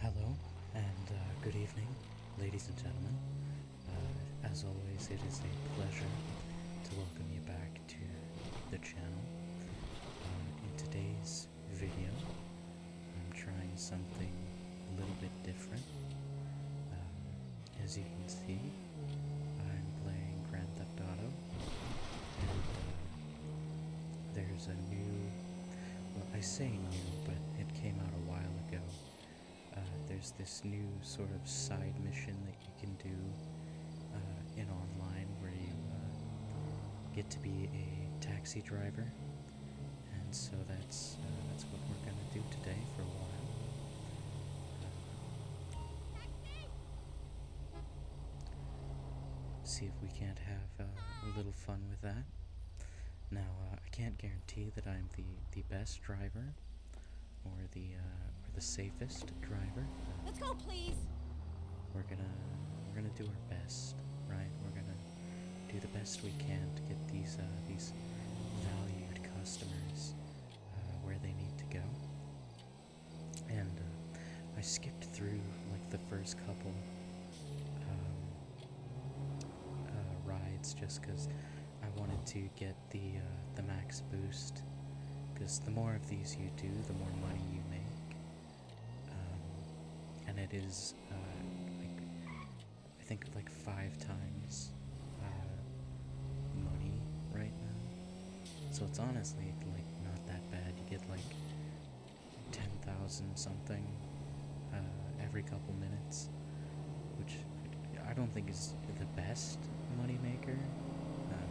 Hello and uh, good evening, ladies and gentlemen. Uh, as always, it is a pleasure to welcome you back to the channel. Uh, in today's video, I'm trying something a little bit different. as you can see, I'm playing Grand Theft Auto, there's a new, well, I say new, but it came out a while ago. Uh, there's this new sort of side mission that you can do uh, in online where you uh, get to be a taxi driver, and so that's that's what we're gonna do today for a while. see if we can't have uh, a little fun with that. Now, uh, I can't guarantee that I'm the, the best driver or the uh, or the safest driver. Let's go, please. We're gonna we're gonna do our best, right? We're gonna do the best we can to get these these valued customers where they need to go. And I skipped through like the first couple um, uh, rides just because I wanted to get the uh, the max boost. Because the more of these you do, the more money you make. Um, and it is uh, like I think like five times money right now. So it's honestly like not that bad. You get like 10,000 something uh, every couple minutes, which I don't think is the best moneymaker. Um,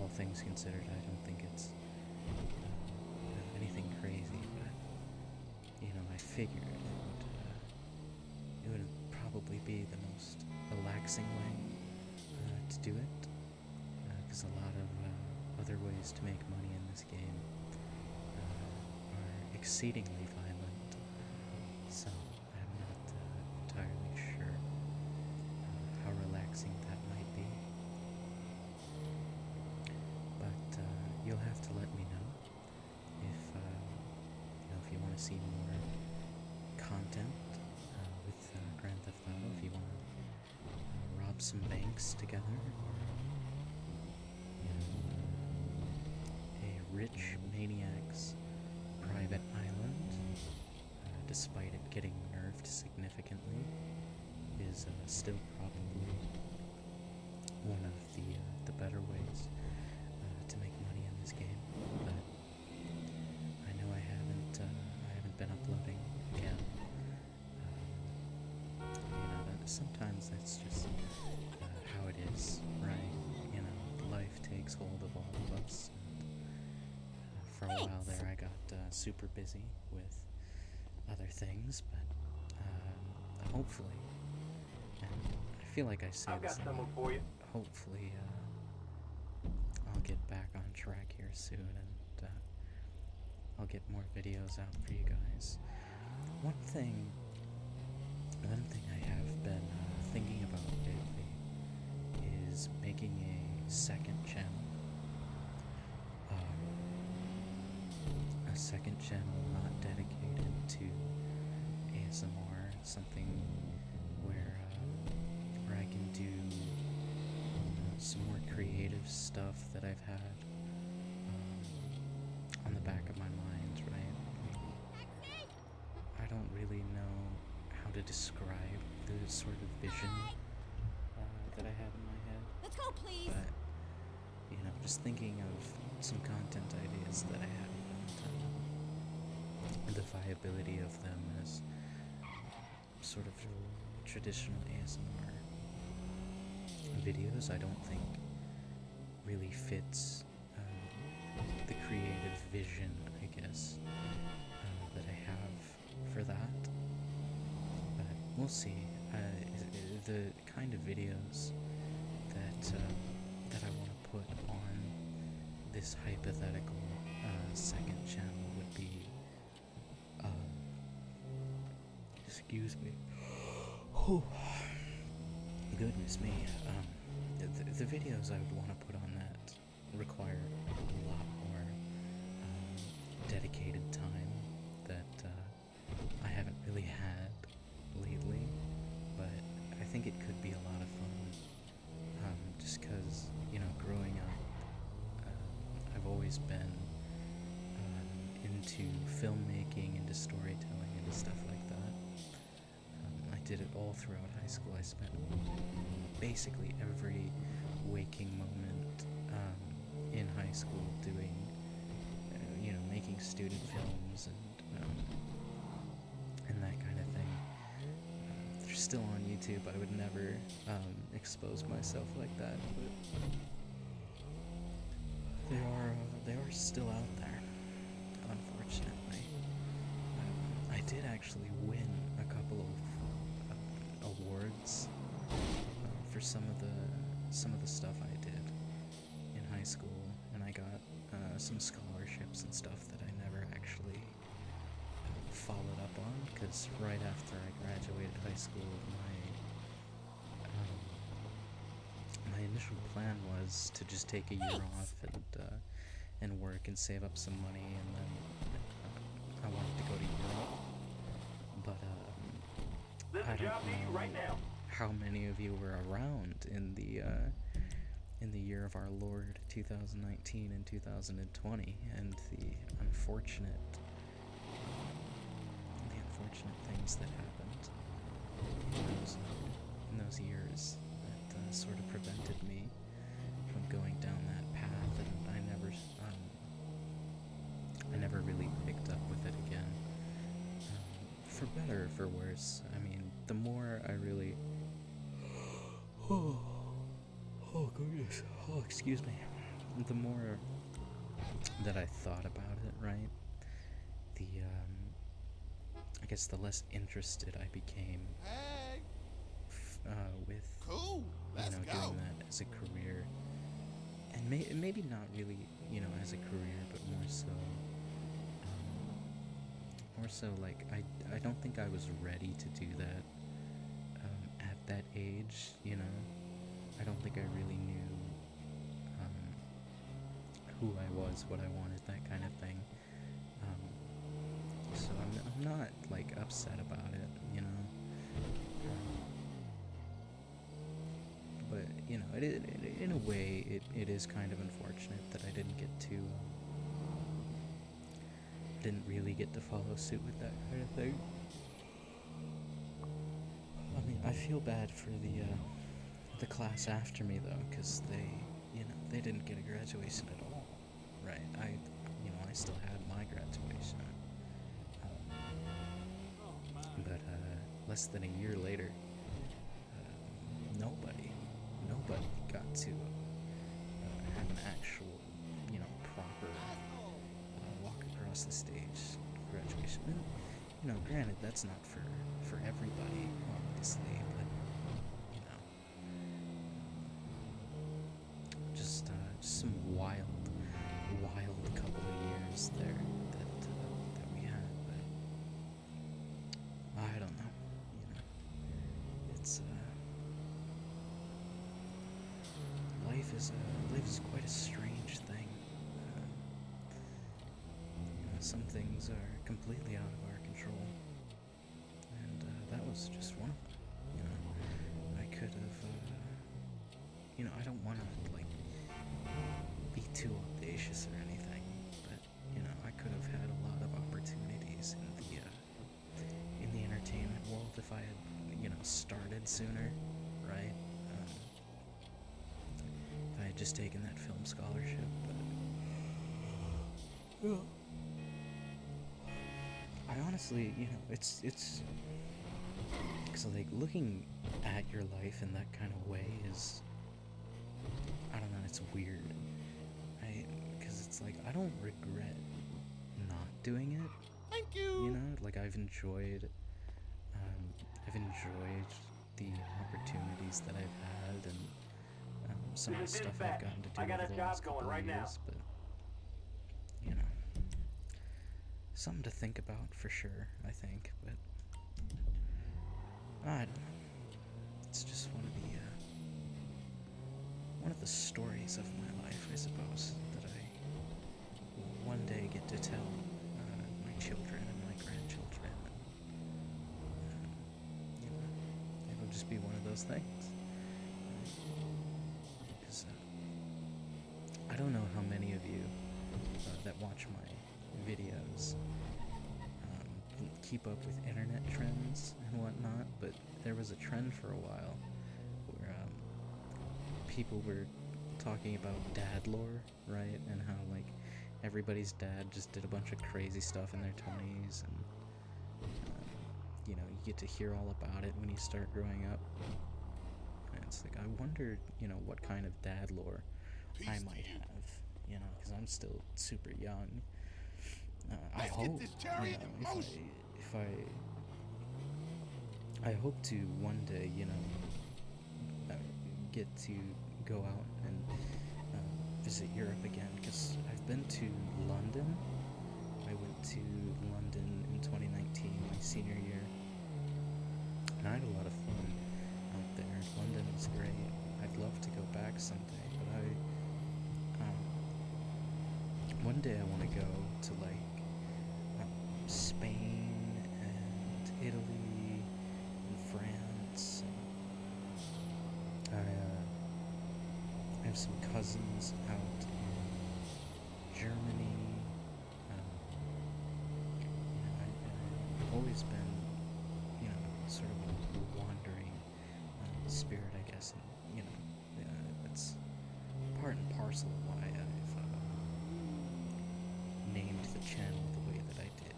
all things considered, I don't think it's uh, anything crazy, but you know, I figured it would, uh, it would probably be the most relaxing way uh, to do it because uh, a lot of uh, other ways to make money in this game uh, are exceedingly violent, so I'm not entirely sure how relaxing that might be. But you'll have to let me know if you want to see more content with Grand Theft Auto, if you want rob some banks together, a rich maniac's private island, uh, despite it getting nerfed significantly, is uh, still probably one of the uh, the better ways to make money in this game. But I know I haven't I haven't been uploading again. You know, sometimes that's just uh, how it is, right? You know, life takes hold of all of us. And, uh, for a while there, I got uh, super busy with other things, but hopefully, and I feel like I say this. Hopefully, I'll get back on track here soon uh, I'll get more videos out for you guys. One thing, one thing I have been uh, thinking about lately is making a second channel. Um, a second channel not dedicated to ASMR, something where, uh, where I can do some more creative stuff that I've had um, on the back of my mind, right? I don't really know how to describe the sort of vision uh, that I have in my head. Let's go, please. But, you know, just thinking of some content ideas that I haven't in done. The viability of them is sort of traditional ASMR videos, I don't think really fits um, the creative vision, I guess, uh, that I have for that. But we'll see. Uh, the kind of videos that uh, that I want to put on this hypothetical second channel would be um, excuse me. Oh, goodness me. Um, the, the videos I would want to put on that require a lot more um, dedicated time that uh, I haven't really had lately, but I think it could be a lot of fun. Um, just because, you know, growing up, uh, I've always been uh, into filmmaking, into storytelling, into stuff like that. Um, I did it all throughout high school. I spent basically every waking moment um, in high school doing, uh, you know, making student films and um, and that kind of thing. they're still on YouTube. I would never um, expose myself like that, but they are uh, they are still out there. Unfortunately, um, I did actually win a couple of uh, awards um, for some of the some of the stuff I did in high school, and I got uh, some scholarships and stuff that I never actually followed up on because right after I graduated high school, my um, my initial plan was to just take a year off and uh, and work and save up some money, and then uh, I wanted to go to Europe. But um, how many of you were around in the uh, in the year of our Lord 2019 and 2020. 2020 and the unfortunate um, the unfortunate things that happened in those, years that uh, sort of prevented me from going down that path and I never um, I never really picked up with it again um, for better or for worse I mean the more I really Oh goodness. Oh, excuse me. The more that I thought about it, right? The um, I guess the less interested I became. Uh, with cool. you know doing that as a career, and may maybe not really you know as a career, but more so. Um, more so, like I I don't think I was ready to do that um, at that age, you know, I don't think I really knew um, who I was, what I wanted, that kind of thing. Um, so I'm, not like upset about it, you know. But you know, in a way, it, it is kind of unfortunate that I didn't get to didn't really get to follow suit with that kind of thing. I mean, I feel bad for the uh, the class after me though, because they, you know, they didn't get a graduation at all, right? I, you know, I still had my graduation, um, but uh, less than a year later, uh, nobody, nobody got to have an actual you know, proper uh, walk across the stage graduation. you know, granted, that's not for for everybody, obviously, but you know, just uh, just some wild, wild couple of years there that uh, that we had. But I don't know, you know, it's uh, life is quite a strange thing. Uh, some things are completely out of our control, and uh, that was just one You know, I could have. Uh, you know, I don't want to be too audacious or anything, but you know, I could have had a lot of opportunities in the in the entertainment world if I had, you know, started sooner, right? Uh, if I had just taken that film scholarship, but. I honestly, you know, it's. it's so like looking at your life in that kind of way is i don't know it's weird i because it's like i don't regret not doing it it. Thank you. know, like I've enjoyed, um, I've enjoyed the opportunities that I've had and um, some of the stuff I've gotten to do I got over the last couple right of years, now. but you know, something to think about for sure. I think, but I don't know. It's just one of the uh, one of the stories of my life, I suppose, that I will one day get to tell uh, my children and my grandchildren. Uh, it'll just be one of those things. Because uh, I don't know how many of you that watch my videos um, keep up with internet trends and whatnot, but there was a trend for a while where um, people were talking about dad lore, right? And how like everybody's dad just did a bunch of crazy stuff in their 20s and um, you know, you get to hear all about it when you start growing up. it's like I wonder, you know, what kind of dad lore I might have, you know, cuz I'm still super young. Uh, I hope, you know, if I I hope to one day, you know, uh, get to go out and um, visit Europe again because I've been to London. I went to London in 2019, my senior year, and I had a lot of fun out there. London was great. I'd love to go back someday, but I um, one day I want to go to like um, Spain and Italy and France. Uh, I, have some cousins out in Germany. Um, I, have always been, you know, sort of a wandering um, spirit, I guess, you know yeah, part and parcel of why I've uh, named the channel the way that I did.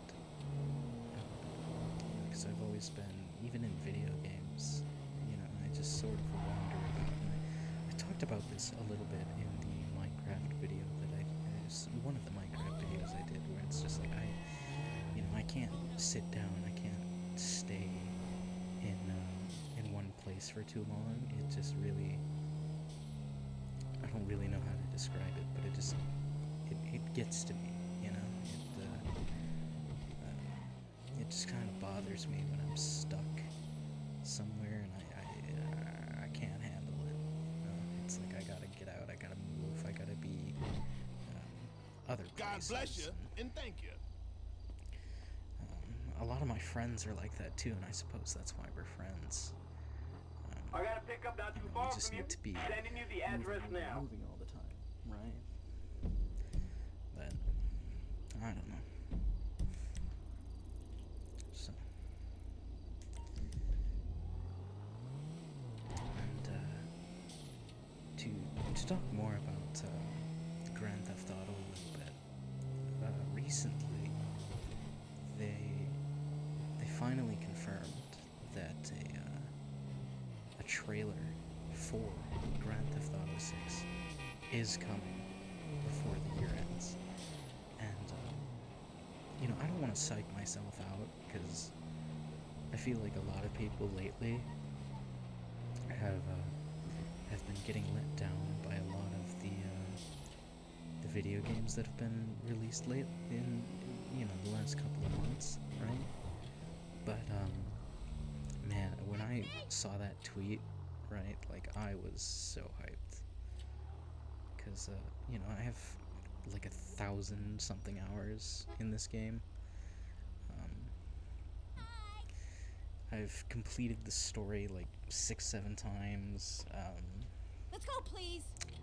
Because um, I've always been, even in video games, you know, I just sort of wander about. I, talked about this a little bit in the Minecraft video that I, one of the Minecraft videos I did, where it's just like I, you know, I can't sit down, I can't stay in. Um, in one place for too long, it just really I don't really know how to describe it, but it just it, gets to me, you know. It, uh, uh, just kind of bothers me when I'm stuck somewhere and I I, can't handle it. It's like I gotta get out, I gotta move, I gotta be. Um, God bless you and thank you. Um, a lot of my friends are like that too, and I suppose that's why we're friends. Um, I gotta pick up not too far from you. Sending you the address now. Moving all the time, right? But I don't know. So. Uh, to to talk more about uh, Grand Theft Auto a little bit. Uh, recently, they they finally confirmed that a uh, a trailer for Grand Theft Auto 6 is coming before the year ends, and you know I don't want to psych myself out because I feel like a lot of people lately have uh, have been getting let down by a lot of the uh, the video games that have been released late in you know the last couple of months, right? But um, man, when I saw that tweet, right, like I was so hyped because uh, you know I have like a thousand something hours in this game um, I've completed the story like six, seven times. Um,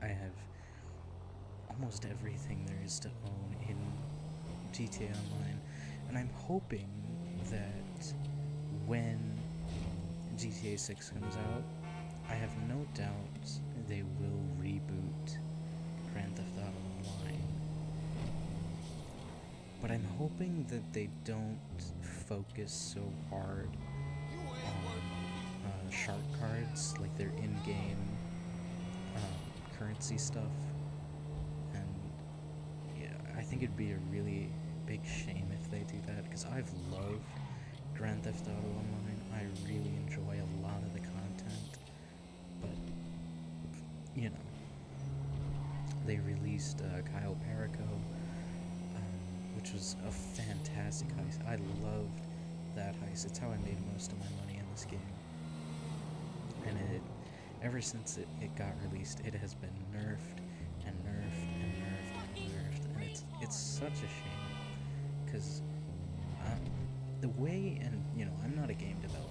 I have almost everything there is to own in GTA Online, and I'm hoping that when GTA 6 comes out, I have no doubt they will reboot Grand Theft Auto Online. But I'm hoping that they don't focus so hard on uh, shark cards, like their in-game uh, currency stuff. And yeah, I think it'd be a really big shame if they do that, because I've loved Grand Theft Auto Online. I really enjoy a lot of the content. But, you know, they released uh, Kyle Perico, um, which was a fantastic heist. I loved that heist. It's how I made most of my money in this game. And it, ever since it, it got released, it has been nerfed and nerfed and nerfed and nerfed. And it's, it's such a shame because um, the way, and you know, I'm not a game developer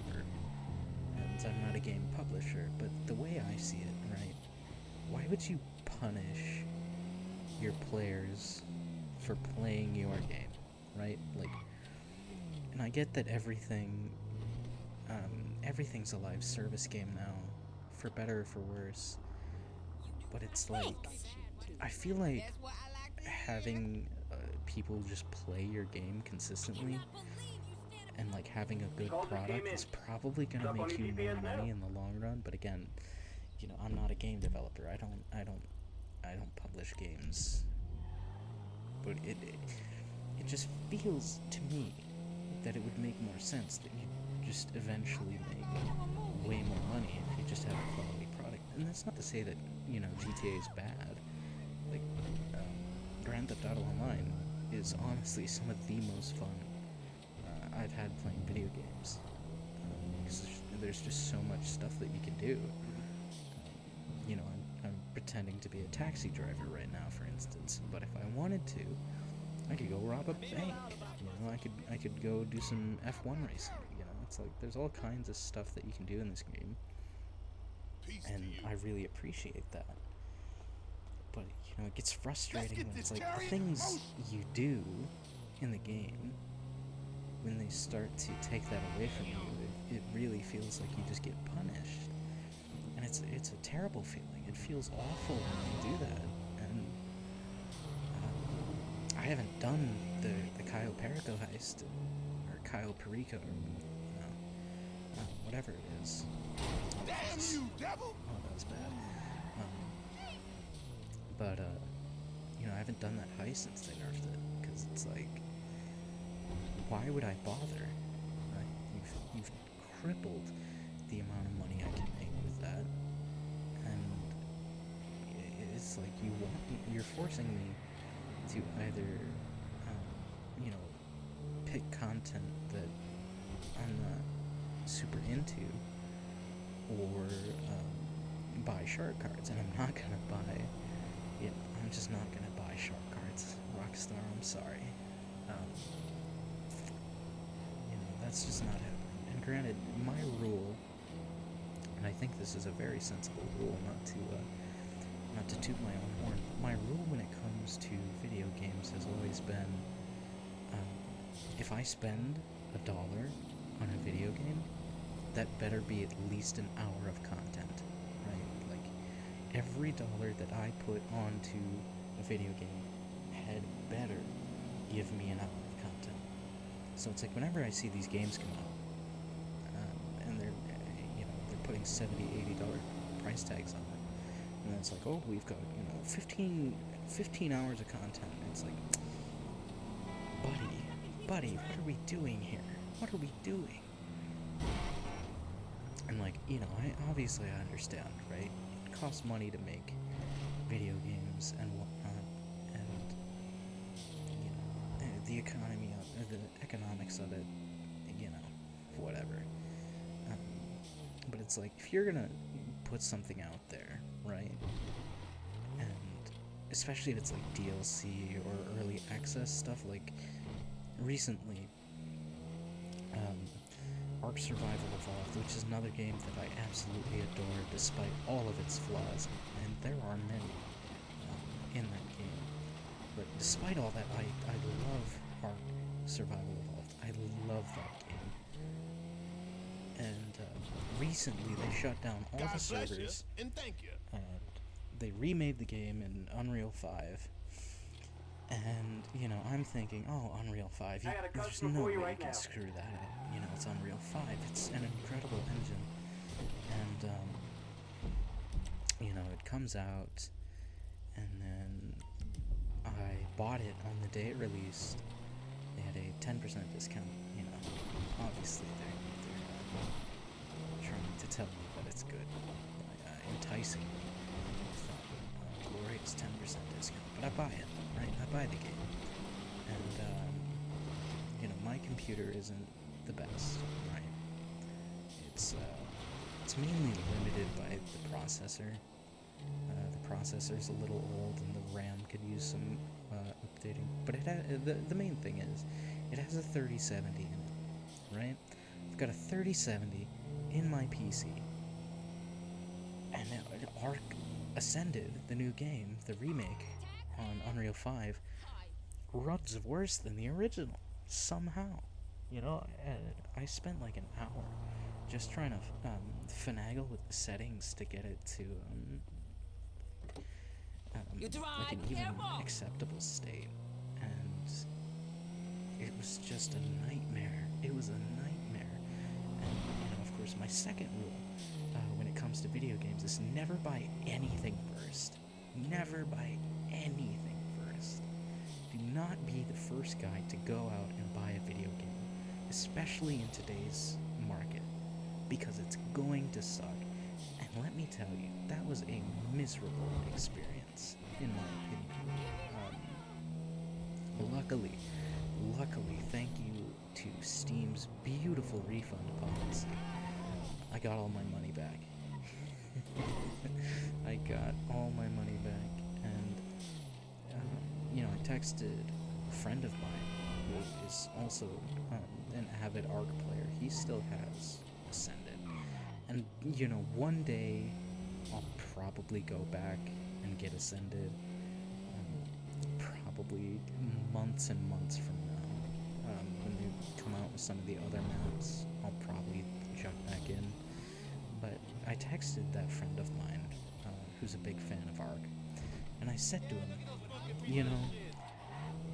and I'm not a game publisher, but the way I see it, right, why would you punish your players for playing your game, right? Like, and I get that everything, um, everything's a live service game now, for better or for worse, but it's like, I feel like having uh, people just play your game consistently and like having a good product is probably gonna make you more money in the long run. But again, you know, I'm not a game developer. I don't, I don't, I don't publish games. But it, it just feels to me that it would make more sense that you just eventually make way more money if you just have a quality product. And that's not to say that you know GTA is bad. Like, uh, Grand Theft Auto Online is honestly some of the most fun uh, I've had playing video games. Because um, there's, just so much stuff that you can do. You know, I'm pretending to be a taxi driver right now, for instance, but if I wanted to, I could go rob a bank. You know, I could I could go do some F1 racing. You know, it's like there's all kinds of stuff that you can do in this game and I really appreciate that. But you know, it gets frustrating when it's like the things you do in the game when they start to take that away from you. It, really feels like you just get punished, and it's it's a terrible feeling. It feels awful when you do that, and um, I haven't done the the Cayo Perico heist or Kyle. Perico. Uh, whatever it is. Damn you, devil! Oh, um, but, uh, you know, I haven't done that high since they nerfed it, because it's like, why would I bother? You've, crippled the amount of money I can make with that, and it's like you want, you're forcing me to either, um, you know, pick content that I'm not super into or um, buy shark cards. And I'm not going to buy, you know, I'm just not going to buy shark cards. Rockstar, I'm sorry. Um, you know, that's just not happening. And granted, my rule, and I think this is a very sensible rule not to, uh, not to toot my own horn, but my rule when it comes to video games has always been um, if I spend a dollar on a video game, that better be at least an hour of content, right? Like, every dollar that I put onto a video game had better give me an hour of content. So it's like whenever I see these games come out, um, and they're you know they're putting 70 80 dollar price tags on it and it's like oh we've got you know 15 hours of content and it's like buddy buddy what are we doing here what are we doing and like you know i obviously i understand right it costs money to make video games and whatnot and you know the economy of. the economics of it, you know, whatever. Um, but it's like if you're gonna put something out there, right? And especially if it's like DLC or early access stuff, like recently, um, Ark Survival Evolved, which is another game that I absolutely adore despite all of its flaws, and there are many in that game. But despite all that, I, I love Ark Survival Evolved. I love that game. And uh, recently they shut down all the servers. and thank you. And uh, they remade the game in Unreal 5. And, you know, I'm thinking, oh, Unreal 5, there's no way you, can screw that up. You know, it's Unreal 5. It's an incredible engine. And, um, you know, it comes out, and then I bought it on the day it released. They had a 10% discount, you know. Obviously, they're, trying to tell me that it's good, uh, enticing me. With, uh, glorious 10% discount, but I buy it, right? I buy the game. And, um, you know, my computer isn't the best, right? It's uh, it's mainly limited by the processor. Uh, the processor's a little old, and the RAM could use some uh, updating. But it the the main thing is, it has a 3070 in it, right? I've got a 3070 in my PC, and it, Ascended, the new game, the remake on Unreal 5, runs worse than the original somehow. You know, uh, I spent like an hour just trying to um, finagle with the settings to get it to um, um, like an even acceptable state, and it was just a nightmare. It was a nightmare, and of course, my second rule uh, when it comes to video games is never buy anything first. Never buy anything first. Do not be the first guy to go out and buy a video game, especially in today's market, because it's going to suck. And let me tell you, that was a miserable experience, in my opinion. Um, luckily, luckily, thank you to Steam's beautiful refund policy, I got all my money back. I got all my money back, and uh, you know, I texted a friend of mine who is also um, an avid ARC player. He still has ascended, and you know, one day I'll probably go back and get Ascended. Um, probably months and months from now, um, come out with some of the other maps, I'll probably jump back in. But I texted that friend of mine, uh, who's a big fan of ARK, and I said to him, you know,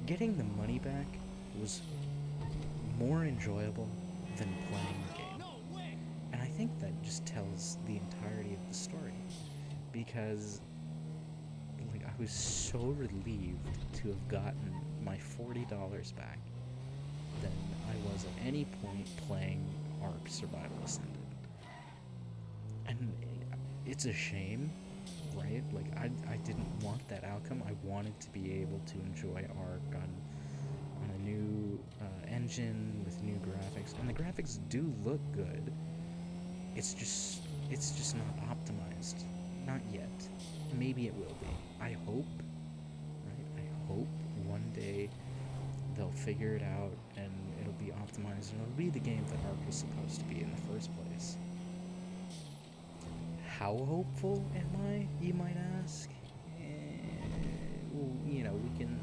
getting the money back was more enjoyable than playing the game. And I think that just tells the entirety of the story. Because I was so relieved to have gotten my $40 back Then I was at any point playing ARK Survival Ascended. And it's a shame, right? Like, I, I didn't want that outcome. I wanted to be able to enjoy ARK on, a new uh, engine with new graphics. And the graphics do look good. It's just, it's just not optimized. Not yet. Maybe it will be. I hope. I hope one day they'll figure it out and it'll be optimized and it'll be the game that Ark was supposed to be in the first place. How hopeful am I, you might ask? you know, we can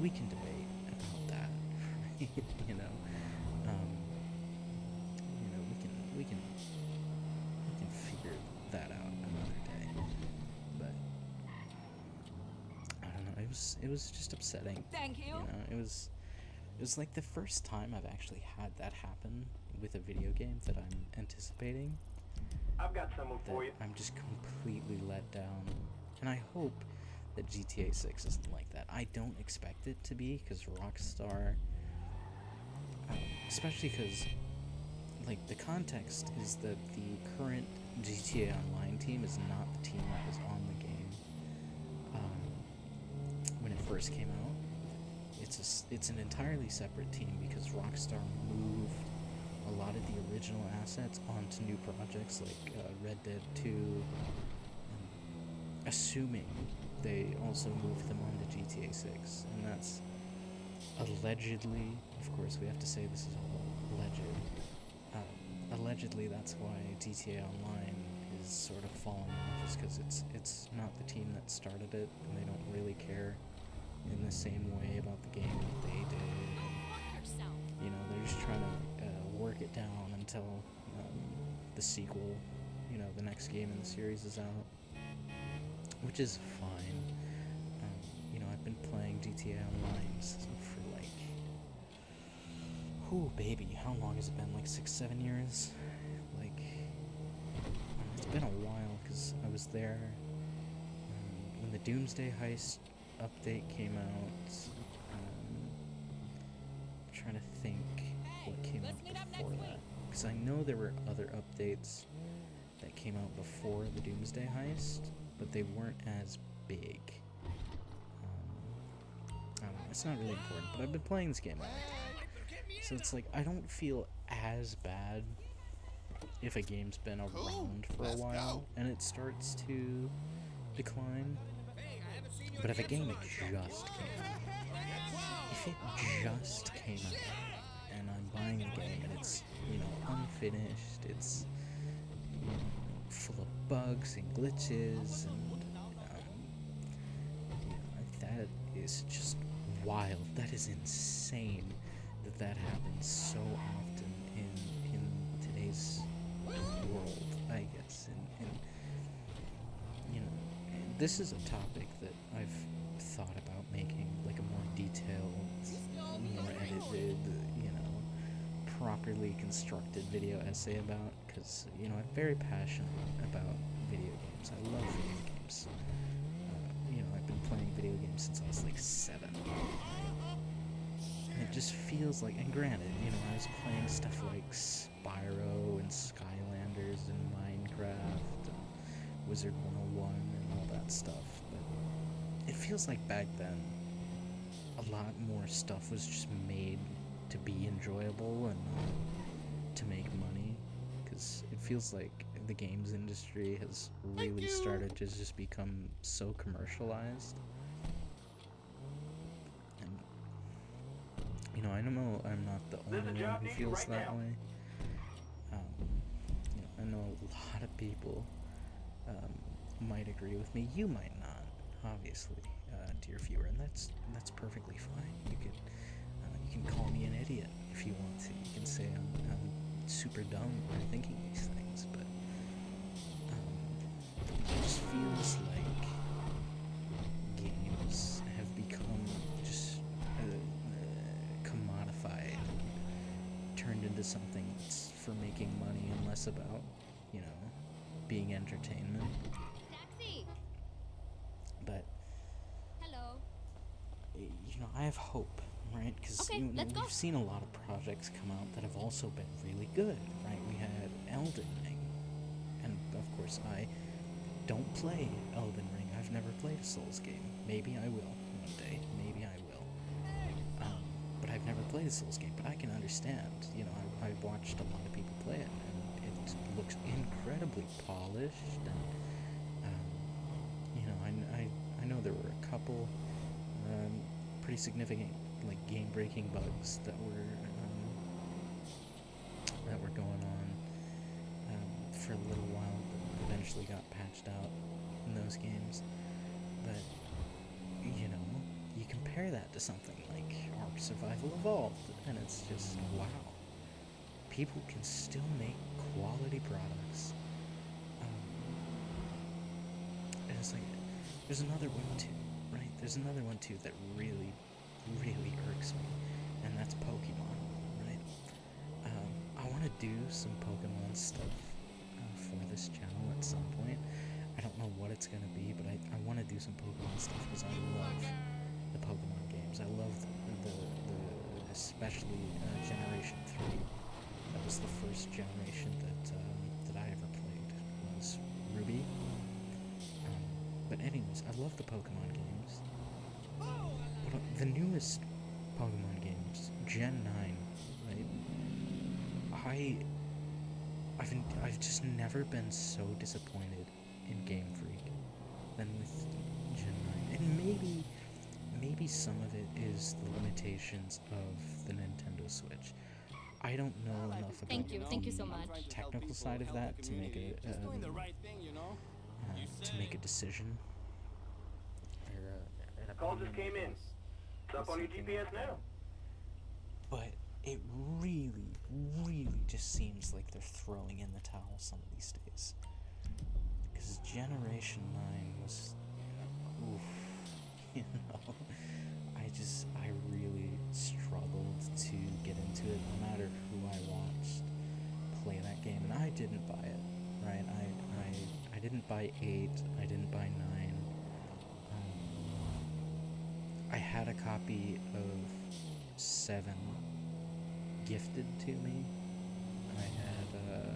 we can debate about that, you know. you know, we can we can I can figure that out another day. But I don't know. It was it was just upsetting. Thank you. you know, it was it was like the first time I've actually had that happen with a video game that I'm anticipating. I've got someone for you. I'm just completely let down. And I hope that GTA 6 isn't like that. I don't expect it to be because Rockstar, um, especially because like the context is that the current GTA Online team is not the team that was on the game um, when it first came out. It's a, it's an entirely separate team because Rockstar moved a lot of the original assets onto new projects like uh, Red Dead 2, assuming they also move them on to GTA 6, and that's allegedly, of course, we have to say this is all alleged. Uh, allegedly, that's why GTA Online is sort of falling off, is because it's it's not the team that started it, and they don't really care in the same way about the game that they did. you know, they're just trying to uh, work it down until um, the sequel, you know, the next game in the series is out, which is fine. Um, you know, I've been playing GTA Online for like, oh baby, how long has it been? Like six, seven years? Like, um, it's been a while because I was there when the Doomsday Heist update came out. I'm trying to think what came out before that. Because I know there were other updates that came out before the Doomsday Heist, but they weren't as big. Um, it's not really important, but I've been playing this game a long time. So it's like, I don't feel as bad if a game's been around for a while and it starts to decline but if a game just came out, if it just came out, and I'm buying a game and it's, you know, unfinished, it's full of bugs and glitches, and um, that is just wild. That is insane that that happens so often in in today's world. I guess you know this is a topic that I've thought about making like a more detailed, more edited, you know, properly constructed video essay about because you know I'm very passionate about video games. I love video games. Uh, you know I've been playing video games since I was like seven. it just feels like, and granted, you know, I was playing stuff like Spyro and Skylanders and Minecraft and Wizard 101 and all that stuff. But it feels like back then a lot more stuff was just made to be enjoyable and uh, to make money because it feels like the games industry has really started to just become so commercialized you know, I don't know I'm not the only one who feels that way. Um, I know a lot of people um, might agree with me. You might not, obviously, uh, dear viewer, and that's that's perfectly fine. You can uh, you can call me an idiot if you want to. You can say I'm, I'm super dumb for thinking these things, but um, it just feels like games have become just uh, uh, commodified, turned into something for making money and less about, you know, being entertainment. But. Hello. You know, I have hope, right? Because you know, we've seen a lot of projects come out that have also been really good, right? We had Elden Ring. And of course, I don't play Elden Ring. I've never played a Souls game. Maybe I will one day. Maybe I will. Um, but I've never played a Souls game. But I can understand. You know, I, have watched a lot of people play it, and it looks incredibly polished. And um, you know, I, I I know there were a couple um, pretty significant like game-breaking bugs that were um, that were going on um, for a little while, but eventually got patched out in those games. But, you know, you compare that to something like Ark Survival Evolved, and it's just wow. People can still make quality products. Um, and it's like, there's another one too, right? There's another one too that really really irks me, and that's Pokemon, right? Um, I want to do some Pokemon stuff uh, for this channel at some point. I don't know what it's going to be, but I, I want to do some Pokemon stuff because I love the Pokemon games. I love the, the, especially uh, Generation 3. That was the first generation that, uh, that I ever played, was Ruby. Um, but anyways, I love Pokemon games. But the newest Pokemon games, Gen 9, right? I I've I've just never been so disappointed in Game Freak than with Gen 9. And maybe maybe some of it is the limitations of the Nintendo Switch. I don't know enough Thank you, thank you so much. Technical side of that to make a um, uh, to make a decision. Call just came in. It's on your GPS now. But it really, really just seems like they're throwing in the towel some of these days. Because Generation 9 was. Oof. You know? I just, I really struggled to get into it no matter who I watched play that game. And I didn't buy it, right? I, I, I didn't buy 8, I didn't buy 9. Um, I had a copy of 7 gifted to me. I had, uh,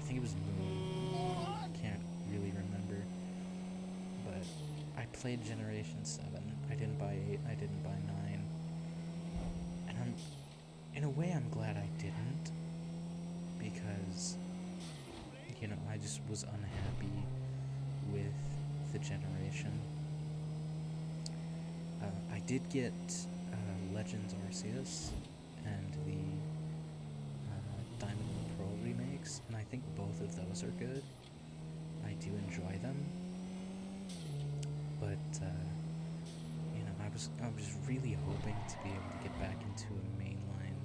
think it was Moon. Can't really remember. But I. I played Generation 7. I didn't buy 8, I didn't buy 9. And I'm. In a way, I'm glad I didn't. Because. You know, I just was unhappy with the generation. Uh, I did get uh, Legends Arceus and the uh, Diamond and Pearl remakes, and I think both of those are good. I do enjoy them, but uh, you know, I was I was really hoping to be able to get back into a mainline,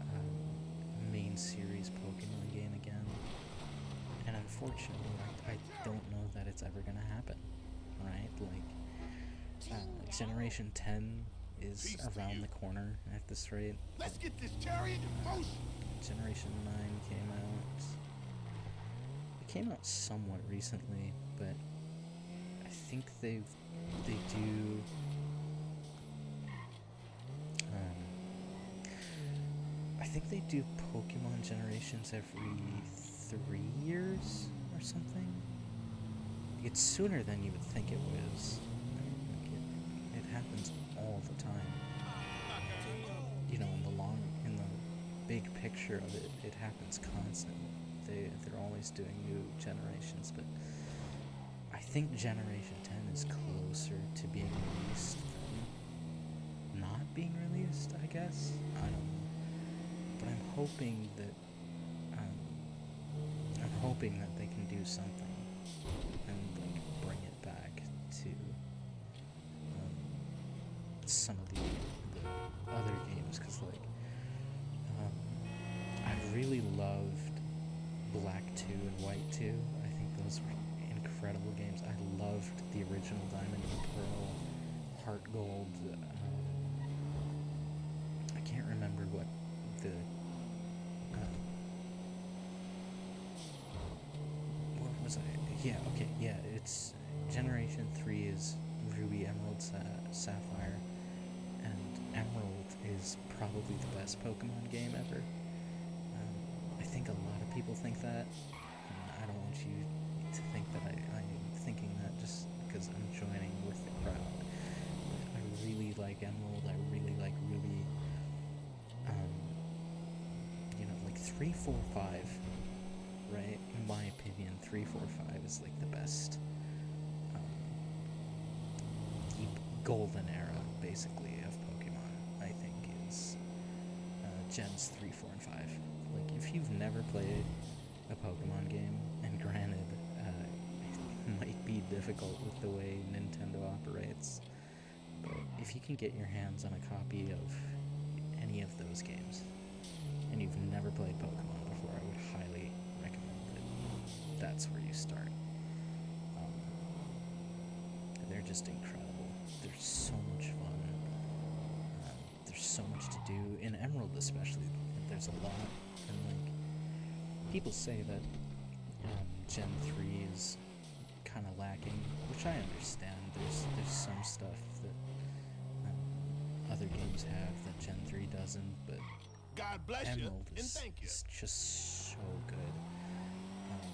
uh, main series Pokemon game again, and unfortunately, I, don't know that it's ever gonna happen. Right, like uh, Generation Ten is around the corner this rate. Let's get this chariot in motion. Generation 9 came out. It came out somewhat recently, but I think they they do um, I think they do Pokemon generations every three years or something. It's sooner than you would think it was. It, happens all the time. You know, in the long, in the big picture of it, it happens constantly. They, they're always doing new generations, but I think Generation 10 is closer to being released than not being released, I guess. I don't know. But I'm hoping that, um, I'm hoping that they can do something and, like, bring it back to um, some of the, other games because like um, I really loved Black 2 and White 2. I think those were incredible games. I loved the original Diamond and Pearl, Heart Gold. Uh, I can't remember what the um, yeah, okay, yeah, it's Generation 3 is Ruby, Emerald, Sapphire, and Emerald is probably the best Pokemon game ever. Um, I think a lot of people think that. I don't want you to think that I, I'm thinking that just because I'm joining with the crowd. I really like Emerald, I really like Ruby. Um, you know, like three, four, five, right? In my opinion, three, four, five is like the best um, golden era, basically, of Pokemon. I think is uh, Gens three, four, and five. Like, if you've never played a Pokemon game, and granted, uh, it might be difficult with the way Nintendo operates. But if you can get your hands on a copy of any of those games, and you've never played Pokemon before, I would highly recommend that that's where you start. Um, they're just incredible. They're so much fun. Um, there's so much to do. In Emerald, especially, there's a lot. And, like, people say that um, Gen 3 is kind of lacking, which I understand. There's there's some stuff that um, other games have that Gen 3 doesn't, but God bless Emerald you is, just so good. Um,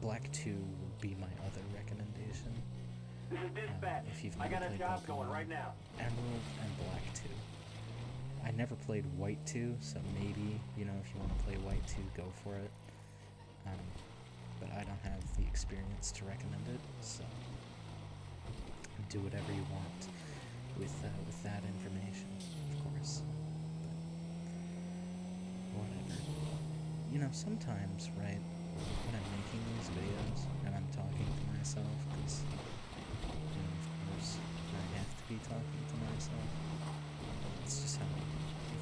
Black 2 would be my other recommendation. Um, if you've I got a job going right now. Emerald and Black 2. I never played White 2, so maybe, you know, if you want to play White 2, go for it. Um, but I don't have the experience to recommend it, so do whatever you want with, uh, with that information, of course. whatever. You know, sometimes, right, when I'm making these videos and I'm talking to myself, because, you know, of course, to be talking to myself. That's just how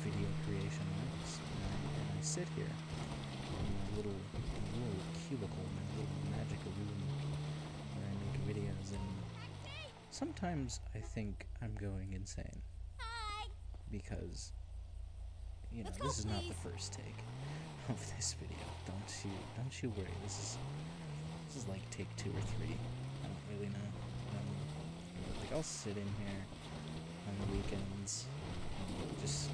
video creation works. And I, sit here in my little, little cubicle, my little magic room where I make videos, and sometimes I think I'm going insane. Because, you know, this is not the first take of this video. Don't you, don't you worry. This is, this is like take two or 3 don't um, I'll sit in here on the weekends and just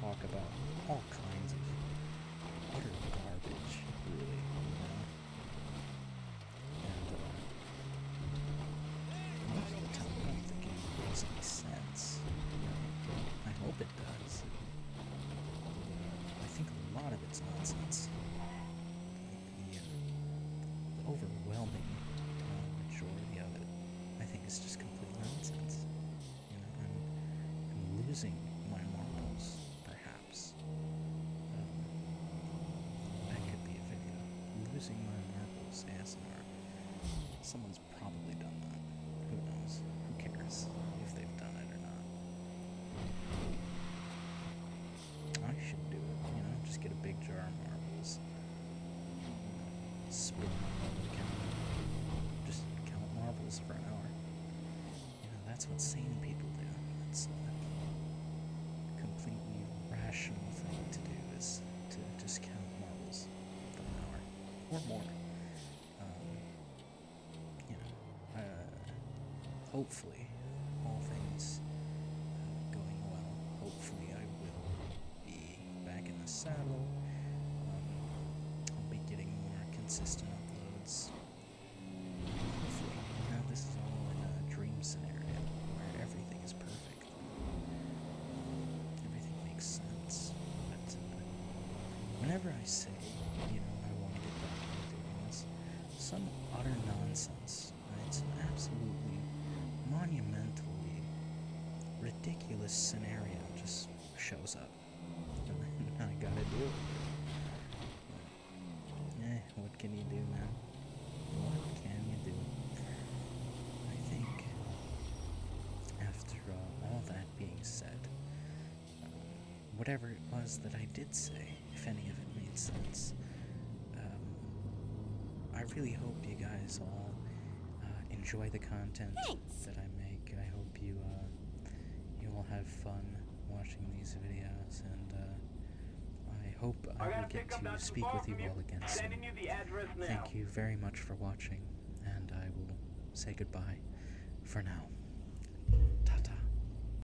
talk about all kinds of utter garbage, really, And, uh, most of the time, I do makes sense. I hope it does. I think a lot of it's nonsense the overwhelming uh, majority of it, I think is just complete nonsense. You know, I'm, losing my marbles, perhaps. Um, that could be a video. Losing my marbles ASMR. Someone's probably done that. Who knows? Who cares if they've done it or not? I should do it, you know, just get a big jar of marbles. Spit count. Just count marbles for an hour. You know, that's what sane people do. That's a completely rational thing to do is to just count marbles for an hour. Or more. Um, you know, uh, hopefully, all things uh, going well, hopefully I will be back in the saddle. Um, I'll be getting more consistent uploads. now this is all in a dream scenario where everything is perfect. Everything makes sense. But, uh, whenever I say, you know, I want to get back to doing this, some utter nonsense. It's an absolutely monumentally ridiculous scenario just shows up. I gotta deal it. Eh, what can you do, man? What can you do? I think after uh, all that being said, um, whatever it was that I did say, if any of it made sense. Um, I really hope you guys all uh, enjoy the content that I make. I hope you uh, you all have fun watching these videos, and uh, I hope I will get to speak with you all again soon. Thank you very much for watching, and I will say goodbye for now. ta